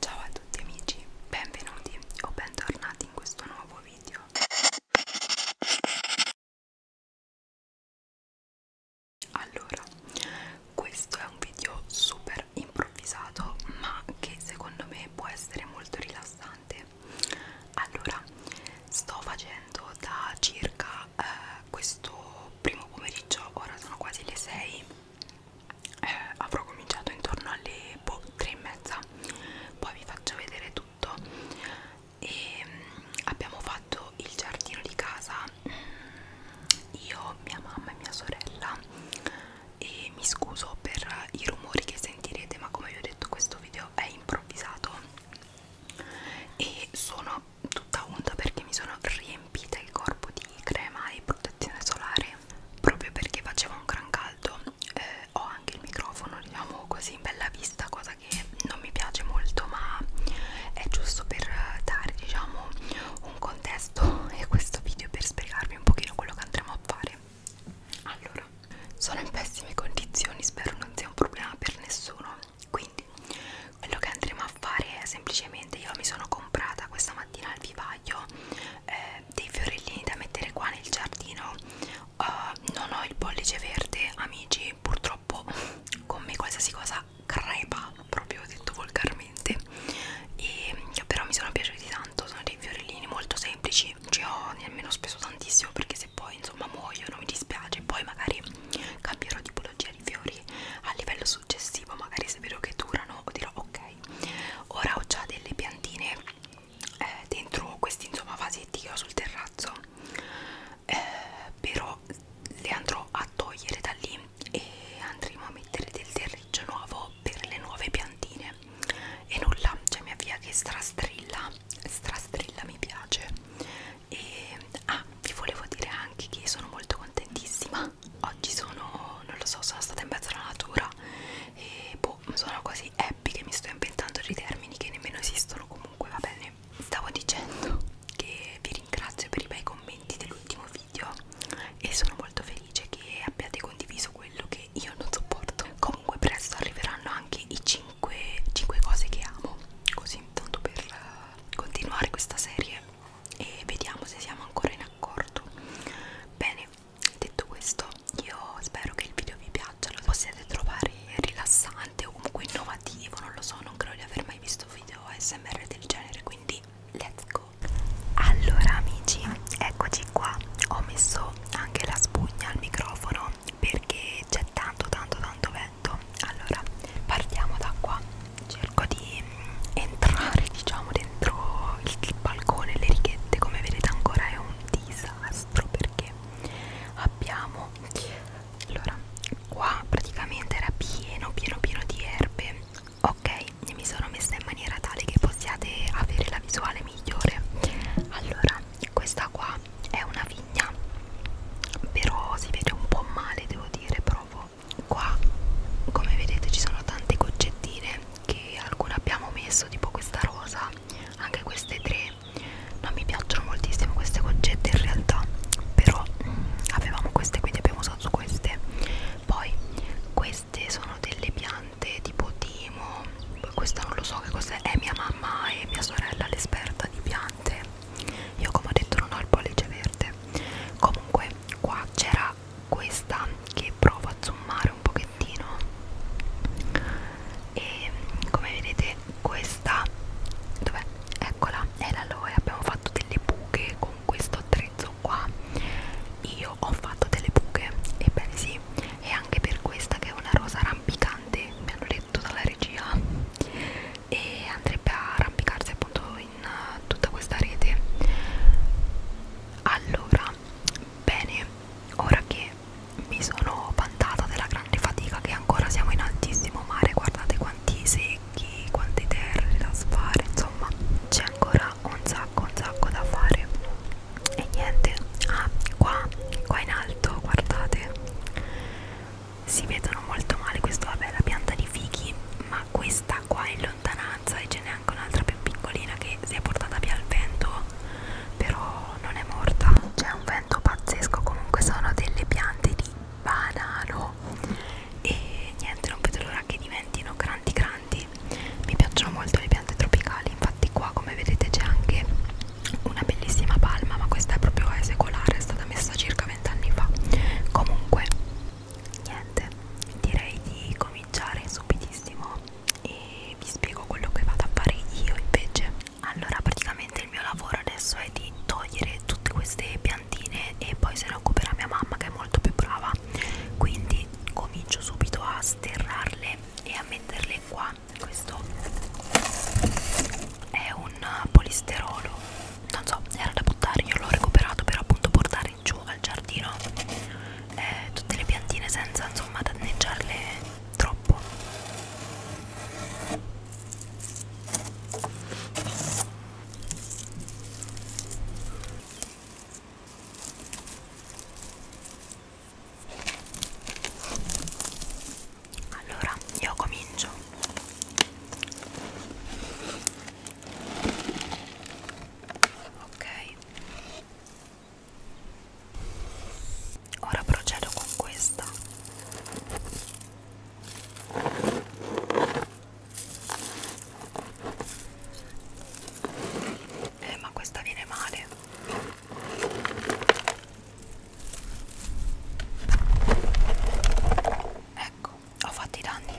Ciao a tutti amici, benvenuti o bentornati in questo nuovo video. Allora, questo è un video super improvvisato, ma che secondo me può essere molto rilassante. Allora, sto facendo da circa eh, questo primo pomeriggio, ora sono quasi le 6 eh, avrò cominciato intorno alle boh, tre e mezza poi vi faccio vedere tutto e mm, abbiamo fatto il giardino di casa mm, io, mia mamma e mia sorella e mi scuso per i rumori che sentirete ma come vi ho detto questo video è improvvisato e sono tutta onda perché mi sono riempita riempita il corpo di crema e protezione solare proprio perché faceva un gran caldo eh, ho anche il microfono diciamo così in bella vista cosa che non mi piace molto ma è giusto per dare diciamo un contesto e questo video per spiegarvi un pochino quello che andremo a fare allora sono in pessime condizioni spero non sia un problema per nessuno quindi quello che andremo a fare è semplicemente io mi sono comprata questa mattina al vivaio eh, dei fiorellini da mettere qua nel giardino uh, non ho il pollice verde amici purtroppo con me qualsiasi cosa crepa proprio detto volgarmente e mm, però mi sono piaciuti tanto sono dei fiorellini molto semplici ci ho nemmeno speso tantissimo perché se poi insomma muoiono mi dispiace poi magari cambierò tipologia mantenere i fiori a livello successivo magari se vedo che durano dirò ok ora ho già delle piantine eh, dentro questi insomma vasetti che ho sul terrazzo eh, però le andrò a togliere da lì e andremo a mettere del terriccio nuovo per le nuove piantine e nulla, cioè mia via che strastrilla strastrilla mi piace e ah vi volevo dire anche che sono molto contentissima oggi sono non lo so sono stata in mezzo alla natura e boh sono quasi happy che mi sto inventando dei termini che nemmeno esistono comunque va bene stavo dicendo che vi ringrazio per i bei commenti dell'ultimo video e sono molto felice che abbiate condiviso quello che io non sopporto comunque presto arriveranno anche i 5 5 cose che amo così tanto per eh, continuare questa serie e vediamo se siamo ancora in accordo bene detto questo io spero che il video vi piaccia lo possiate trovare rilassante o comunque innovativo non lo so non credo di aver mai visto video ASMR del genere quindi let's go allora amici eccoci qua ho messo anche la spugna al microfono perché c'è tanto tanto tanto perfetto allora partiamo da qua cerco di mm, entrare diciamo dentro il, il balcone le righette come vedete ancora è un disastro perché abbiamo allora qua praticamente era pieno pieno pieno di erbe ok mi sono messa in maniera tale che possiate avere la visuale migliore allora questa qua è una vigna però si vede un po' male devo dire provo qua come vedete ci sono tante goccettine che alcune abbiamo messo tipo questa rosa anche queste tre non mi piacciono moltissimo queste goccette in realtà però mm, avevamo queste quindi abbiamo usato queste poi queste sono delle piante tipo timo questa non lo so che cos'è è mia mamma e mia sorella l'esperta di piante io come ho detto non ho il pollice verde comunque qua c'era questa che provo a zoomare un pochettino e come vedete questa dov'è? eccola è l'aloe abbiamo fatto delle buche con questo attrezzo qua io ho fatto delle buche ebbene sì e anche per questa che è una rosa rampicante mi hanno detto dalla regia e andrebbe a arrampicarsi appunto in eh, tutta questa rete allora bene ora che mi sono vantata della grande fatica che ancora siamo in altissimo mare guardate quanti secchi quante terre da sfare insomma c'è ancora un sacco un sacco da fare e niente ah qua qua in alto guardate si vedono molto male questo vabbè è la pianta di fichi ma questa qua in lontananza e ce n'è anche un'altra più piccolina che si è portata via al vento però non è morta c'è un vento pazzesco comunque sono delle piante di banano e niente non vedo l'ora che diventino grandi grandi mi piacciono molto le piante tropicali infatti qua come vedete c'è anche una bellissima palma ma questa è proprio esecolare è stata messa circa 20 anni fa comunque niente direi di cominciare subitissimo e vi spiego quello che vado a fare io invece allora praticamente il mio lavoro adesso è di togliere tutte queste piantine e poi se ne occuperà mia mamma che è molto più brava quindi comincio subito a sterrarle e a metterle qua qua questo è un polisterolo non so era da buttare io l'ho recuperato per appunto portare giù al giardino eh, tutte le piantine senza insomma danneggiarle troppo allora io comincio ok ora procedo con questa eh ma questa viene male Ecco, ho fatto i danni.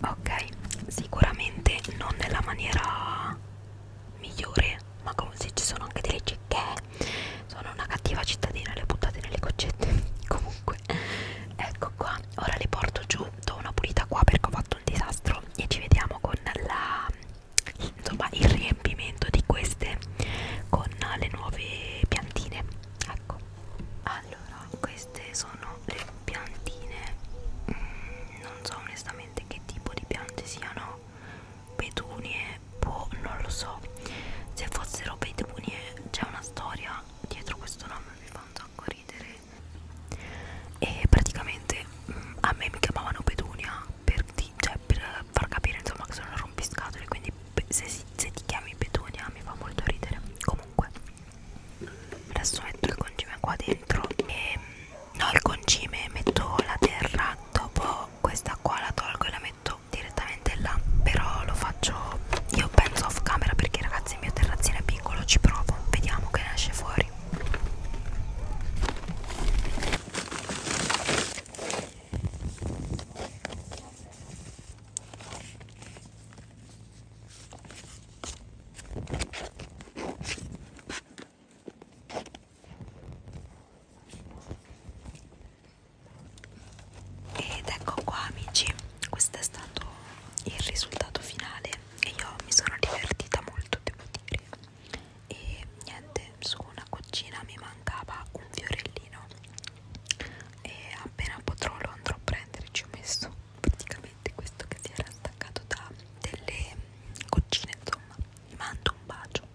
Ok, sicuramente non nella maniera migliore, ma come se ci sono anche delle cicche, sono una cattiva cittadina, le ho buttate nelle goccette. Comunque, ecco qua, ora le porto giù do una pulita qua perché ho fatto il disastro e ci vediamo con la insomma il riempimento di queste con le nuove piantine ecco allora queste sono le piantine mm, non so onestamente che tipo di piante siano petunie boh non lo so se fossero petunie c'è una storia dietro questo nome mi fa un sacco ridere e praticamente mh, mm, a me mi chiamavano Petunia per, ti, cioè, per far capire insomma che sono rompiscatole quindi se, se ti chiami Petunia mi fa molto ridere comunque adesso metto il concime qua dentro e mm, no il concime metto la terra dopo questa qua la tolgo e la metto direttamente là però lo faccio io penso off camera perché ragazzi terrazzo, il mio terrazzino è piccolo, ci provo, vediamo che ne esce fuori. Ed ecco qua amici, questo è stato il risultato finale e io mi sono divertita molto devo dire e niente su una cucina mi mancava un fiorellino e appena potrò lo andrò a prendere ci ho messo praticamente questo che si era staccato da delle cucine insomma mi mando un bacio